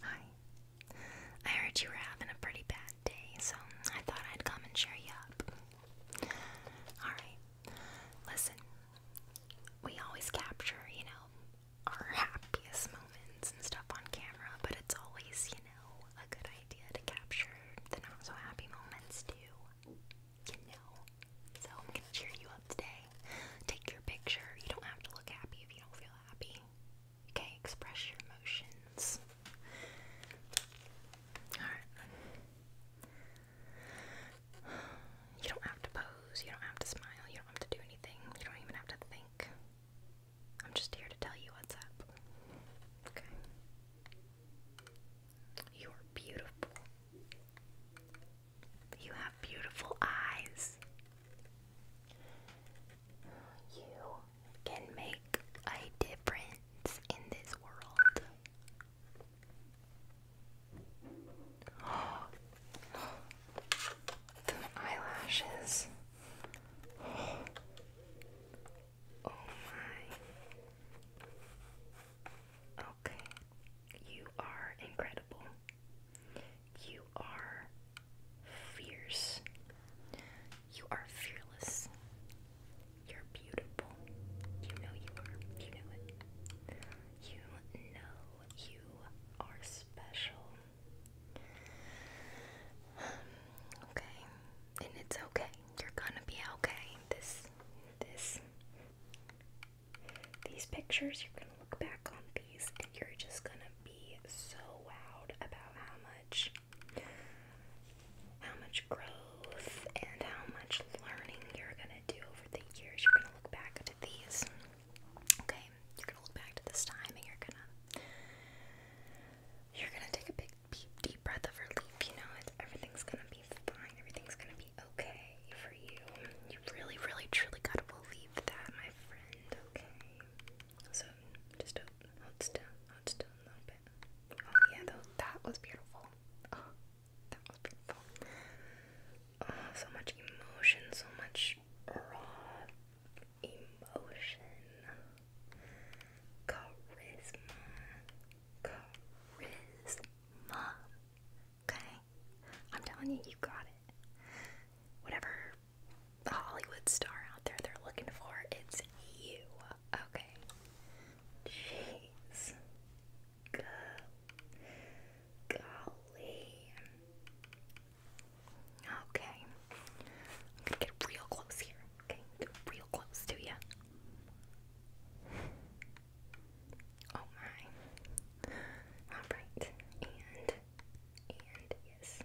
Hi. I heard you were having a pretty bad day, so I thought I'd come and cheer you up. Alright. Listen, we always capture, you know, our happiest moments and stuff on camera, but it's always, you know, a good idea to capture the not so happy moments too. You know. So I'm gonna cheer you up today. Take your picture. You don't have to look happy if you don't feel happy. Okay, express your emotions. Alright. You don't have to pose, you don't have to smile, you don't have to do anything, you don't even have to think. I'm just here to tell you what's up. Okay. You're beautiful. You have beautiful eyes. You can make a difference in this world. the eyelashes. Oh my. Okay. You are incredible. You are fierce. You are fearless. You're beautiful. You know you are. You know it. You know you are special. Okay. And it's okay. You're gonna be okay. This this these pictures, you're going to look back on these and you're just going to be so wowed about how much how much growth and how much learning you're going to do over the years. You're going to look back to these. Okay, you're going to look back to this time and you're going to you're going to take a big deep, breath of relief, you know, everything's going to be fine. Everything's going to be okay for you. You really, really, truly gotta believe that, my friend, okay? So, just hold still, hold still a little bit. Oh, yeah, though, that was beautiful. Oh, that was beautiful. Oh, so much emotion, so much raw emotion. Charisma. Charisma. Okay. I'm telling you, you got it. Whatever Hollywood star out there they're looking for, it's you. Okay. Jeez. golly. Okay. I'm gonna get real close here. Okay, get real close to you. Oh my. Alright. And, and, yes.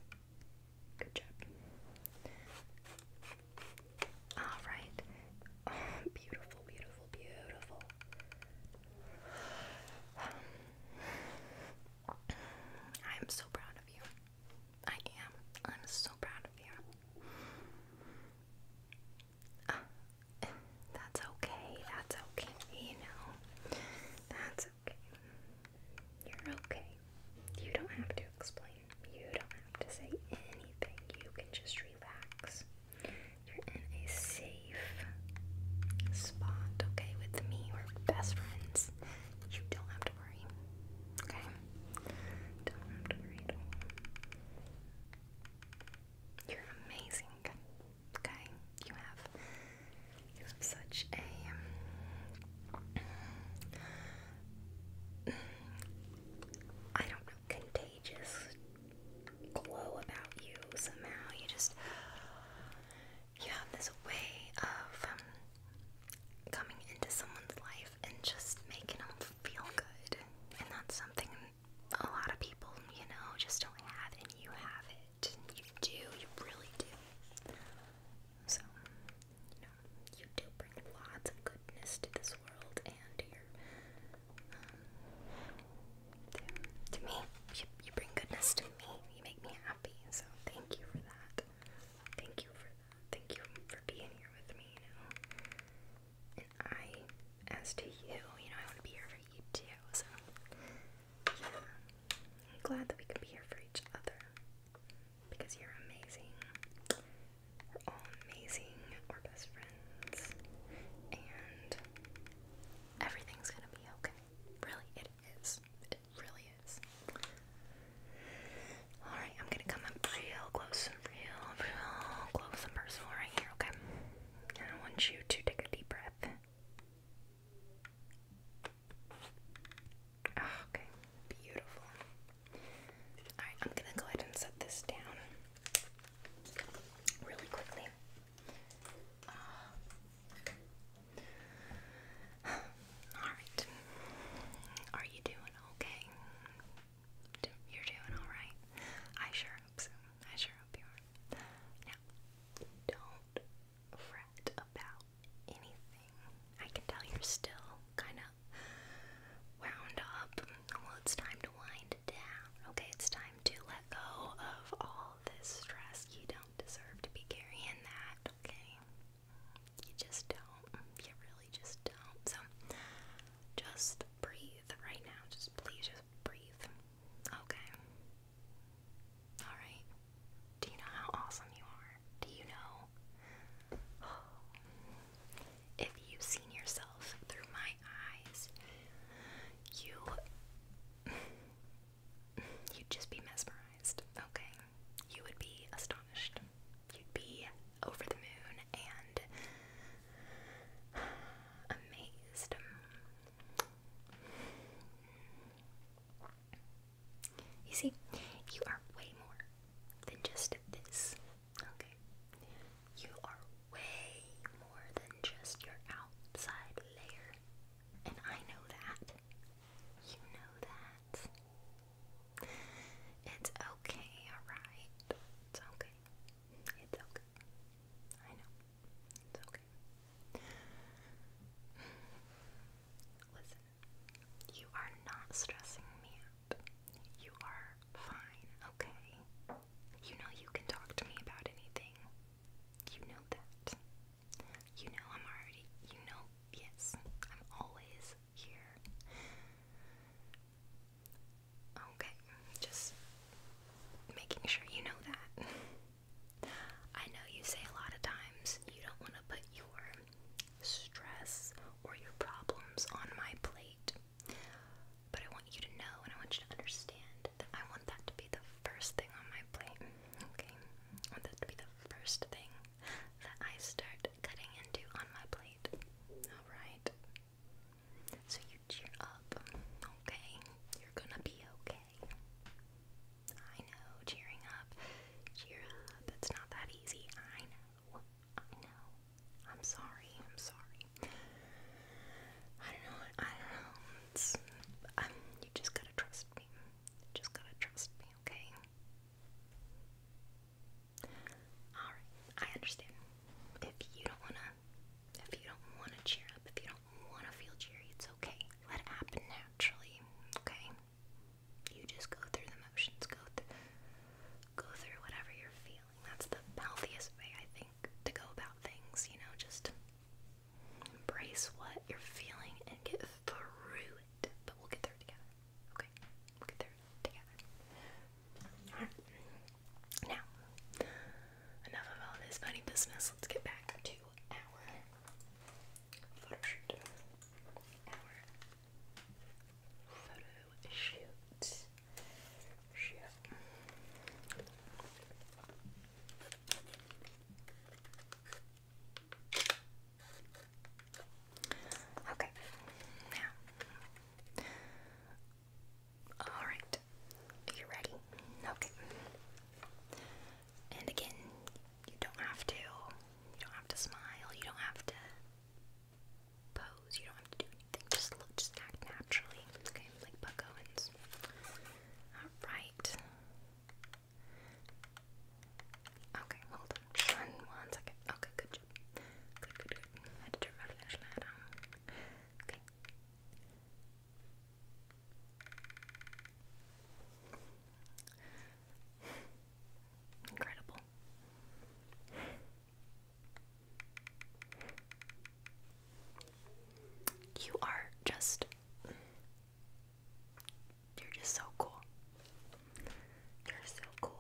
Good job. Alright. beautiful, beautiful, beautiful. Um, I am so proud of you. I am. I'm so proud of you. Ah, that's okay. That's okay. You know, that's okay. You're okay. You don't have to explain. You don't have to say anything. You can just relax. You're in a safe spot, okay, with me. We're best friends. You don't have to worry, okay? Don't worry You're amazing. Okay, you have you have such a um, I don't contagious glow about you somehow. You just you have this way of um, coming into someone's life and just making them feel good, and that's something a lot of people, you know, just don't have it, you have it. You do, you really do. So, you know, you do bring lots of goodness to this world and to your, um, to me. You, you bring goodness to me. You make me happy. So, thank you for that. Thank you for that. Thank you for being here with me, you know. I, as to you, you know, I want to be here for you too, so yeah, I'm glad that we can be here for each other because you're amazing. We're all amazing, we're best friends, and everything's gonna be okay. Really, it is. It really is. Alright, I'm gonna come up real close real, real close and personal right here, okay? I want you to take a deep breath. Ah, okay, beautiful. Alright, I'm gonna go ahead and set this down really quickly. Ah. Alright. Are you doing okay? You're doing alright? I sure hope so. I sure hope you are. Now, don't fret about anything. I can tell you're still kind of wound up. Well, it's time to wind down. Okay, it's time to let go of all this stress. You don't deserve to be carrying that, okay? You just don't. You really just don't. So, just breathe right now. Just please breathe. Okay. Alright. Do you know how awesome you are? Do you know? If you seen yourself through my eyes, you you'd just be mesmerized, okay? You would be astonished. You'd be over the moon and amazed. You see, you are way more than just this. Okay? You are way more than just your outside layer. And I know that. You know that. It's okay, alright? It's okay. It's okay. I know. It's okay. Listen, you are not stressing me out. You are fine, okay? You know you can talk to me about anything. You know that. You know I'm already, you know, yes, I'm always here. Okay, just making sure you know that. I know you say a lot of times you don't want to put your stress or your problems on my plate, but I want you to know and I want you to understand that I want that to be the first thing on my plate. Okay, I want that to be the first thing that I start cutting into on my plate. Alright. So you cheer up, okay? You're gonna be okay. I know, cheering up. Cheer up. It's not that easy. I know. I know. I'm sorry. I'm sorry. I don't know. I don't know. It's, um, you just gotta trust me. You just gotta trust me, okay? Alright, I understand. If you don't wanna if you don't want to cheer up, if you don't want to feel cheery, it's okay. Let it happen naturally, okay? You just go through the motions, go through, whatever you're feeling. That's the healthiest way, I think, to go about things. You know, just embrace what you're feeling and get through it. But we'll get through together, okay? We'll get through together. Now, enough of all this funny business. Let's get back to our photo shoot. Our photo shoot. Shoot. Okay, now Alright. you ready? Okay. And again, you don't have to you don't have to smile, you don't have to pose, you don't have to do anything. Just look just act naturally. Okay, like Buck Owens. Alright. Okay, hold on. one second. Okay, good job. good. Um, Incredible. You are just. You're just so cool. You're so cool.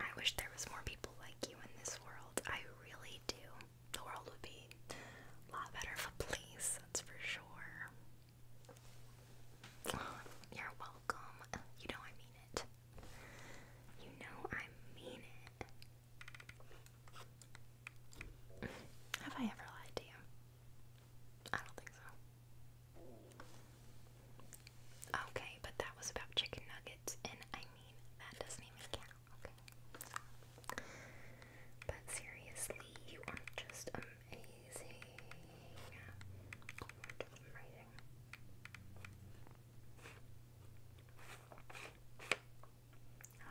I wish there was more people like you in this world. I really do. The world would be a lot better for a place, that's for sure. you're welcome. You know I mean it. You know I mean it. Have I ever lied to you? I don't think so. Okay, but that was about chicken nuggets, and I mean, that doesn't even count, But seriously, you are just amazing.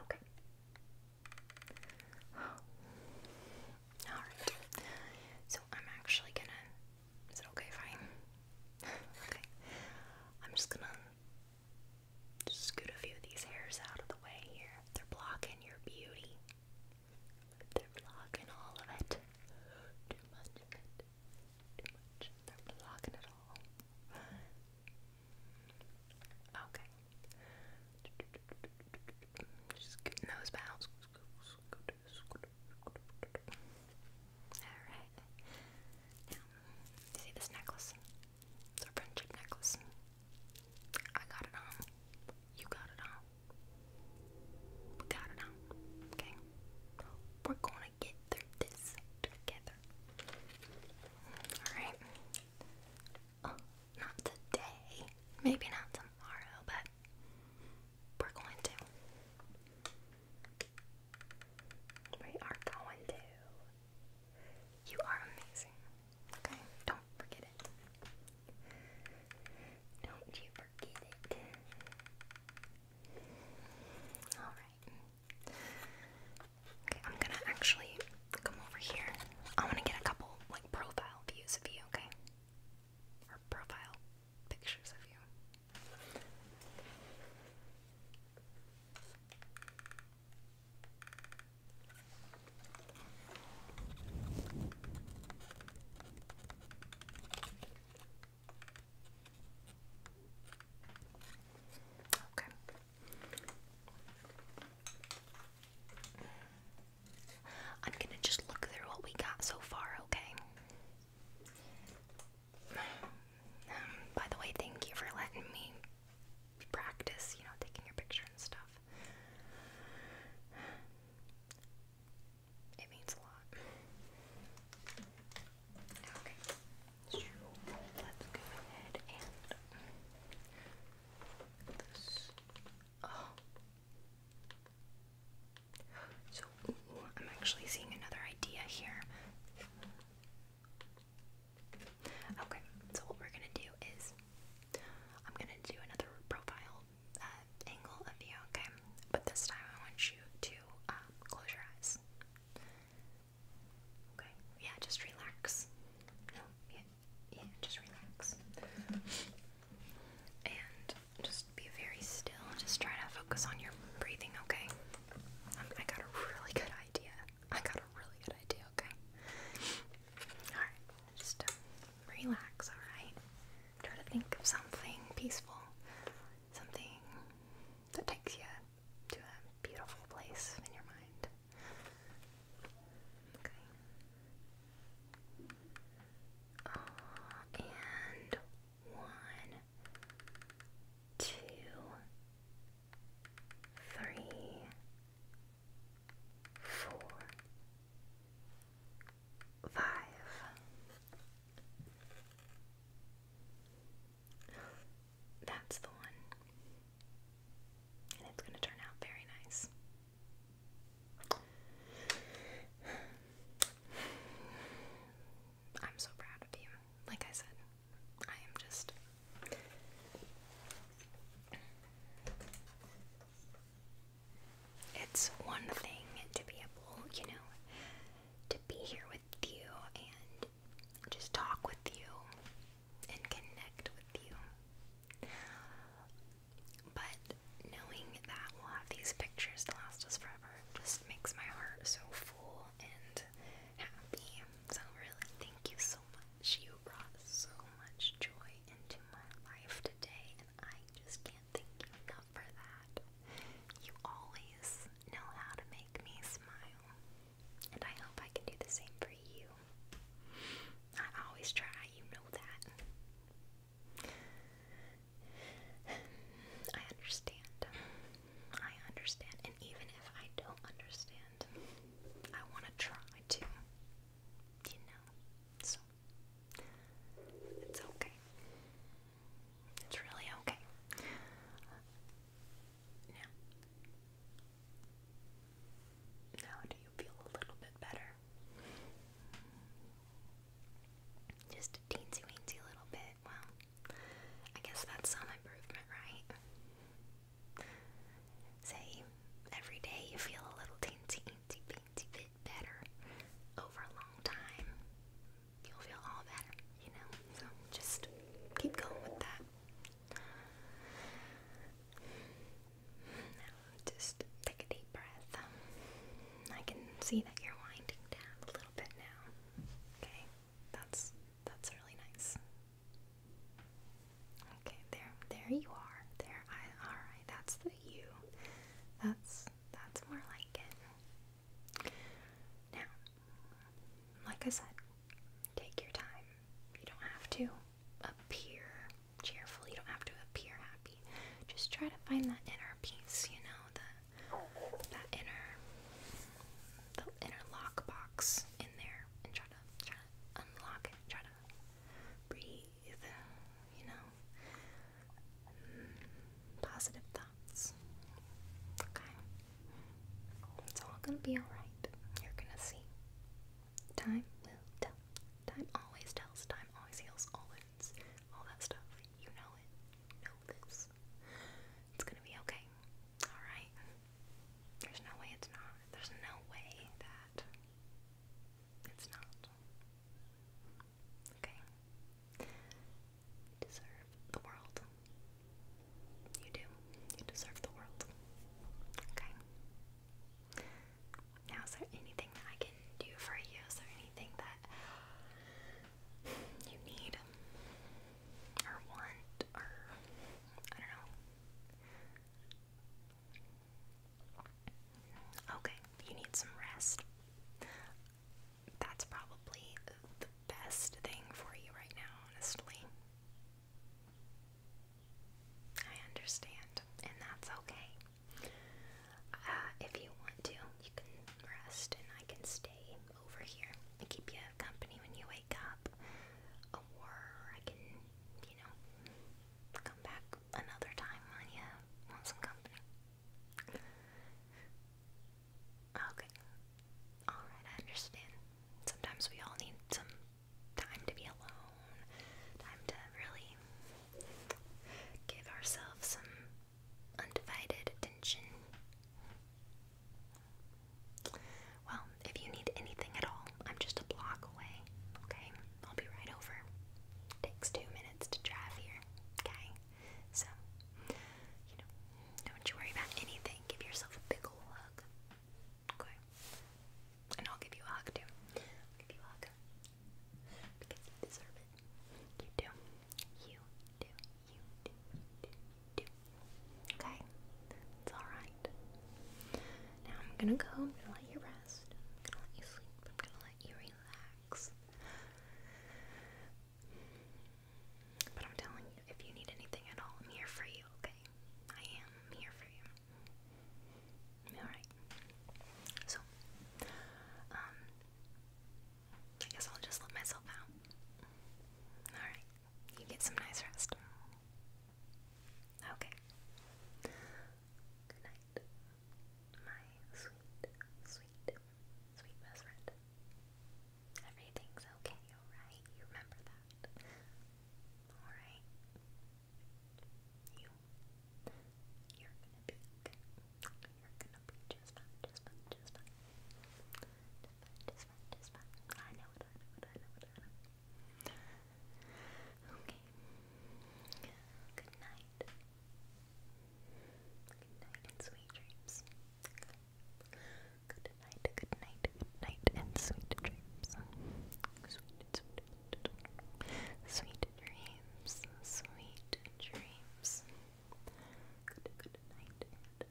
Okay. Alright. So I'm actually gonna. okay if okay. I'm just gonna scoot a few of these hairs out of the way here. They're blocking your beauty. They're blocking all of it. Too much of it. Too much. They're blocking it all. Okay. Just get nose bounce. Alright. see this necklace? It's a friendship necklace. I got it on. You got it on. We got it on. Okay? We're gonna get through this together. Alright. Oh, not today. Maybe not tomorrow, but we're going to. We are going to. You are amazing. Okay? Don't forget it. Don't you forget it. Alright. Okay, I'm gonna actually come over here. I wanna get a couple like profile views of you, okay? Or profile pictures of you. Okay. I'm gonna just look through what we got so far, okay? Um, by the way, thank you for letting me practice, you know, taking your picture and stuff. It means a lot. Okay. Let's go ahead and this. Oh. So, I'm actually seeing another idea here. Okay, so what we're gonna do is I'm gonna do another profile uh, angle of you, okay? But this time I want you to um, close your eyes. Okay. Yeah, just relax. No, yeah, yeah, just relax. And just be very still. Just try to focus on your breathing, okay? Um, I got a really good idea. I got a really good idea, okay? Alright, just um, relax, alright? Try to think of something peaceful. Something that takes you to a beautiful place in your mind. Okay. Uh, and one, two, three, four, five. That's the one. And it's going to turn out very nice. I'm so proud of you. Like I said, I am just. It's one thing to be able, you know, to be here with you and just talk with you and connect with you. But knowing that we'll have these pictures to last us forever just makes my heart so full and happy. So, really, thank you so much. You brought so much joy into my life today, and I just can't thank you enough for that. You always know how to make me smile. And I hope I can do the same for you. I always try, you know that. I understand. I understand. And even if I don't understand, I want to try to. You know? So, it's okay. It's really okay. Now, now do you feel a little bit better? Just teensy weensy little bit. Well, I guess that's some improvement, right? Say, every day you feel a little teensy, teensy, bit better over a long time you'll feel all better, you know? So just keep going with that. just take a deep breath. I can see that you're winding down a little bit now. Okay, that's that's really nice. Okay, there, there you are. There, All right, that's the you. That's that's more like it. Now, like I said, take your time. You don't have to appear cheerful, you don't have to appear happy. Just try to find that inner peace, you know, the that inner the inner lock box in there and try to try to unlock it, try to breathe, you know. Mm, positive thoughts thoughts. Okay? It's all gonna be alright. You're gonna see. Time will tell. Time always tells. Time always heals. All wounds. All that stuff. You know it. know this. It's gonna be okay. Alright? There's no way it's not. There's no way that it's not. Okay? deserve the world. You do. You deserve the world. Okay? Now, is there anything that I can do for you? Is there anything that you need or want or I don't know? Okay, you need some rest that's probably the best thing for you right now, honestly. I understand, and that's okay. Uh, if you want to, you can rest, and I can stay over here keep you company when you wake up. Or I can, you know, come back another time when you want some company. Okay. Alright, I understand. Sometimes we all need some time to be alone, time to really give ourselves some undivided attention. Well, if you need anything at all, I'm just a block away, okay? I'll be right over. Takes two minutes to drive here, okay? So, you know, don't you worry about anything. Give yourself a big ol' hug. Okay? And I'll give you a hug too. give you a hug. Because you deserve it. You do. You do. You do. do. Okay? It's alright. Now I'm gonna go. i let you rest. gonna let you sleep. I'm gonna let you relax. But I'm telling you, if you need anything at all, I'm here for you, okay? I am here for you. Alright. So, um, I guess I'll just let myself out. Alright. You get some nice rest. Okay. Good night, my sweet, sweet sweet best friend. Everything's okay, alright? You remember that. Alright? You. You're gonna be okay. You're gonna be just fine, just fine, just fine. Just fine, just fine, I know I know I know I know Okay. Good night. Good night and sweet dreams. Good night, good night, good night, and sweet dreams. Sweet, sweet, sweet dreams, sweet dreams. Good, good night, and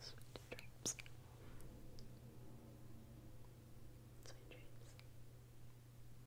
sweet dreams. Sweet dreams.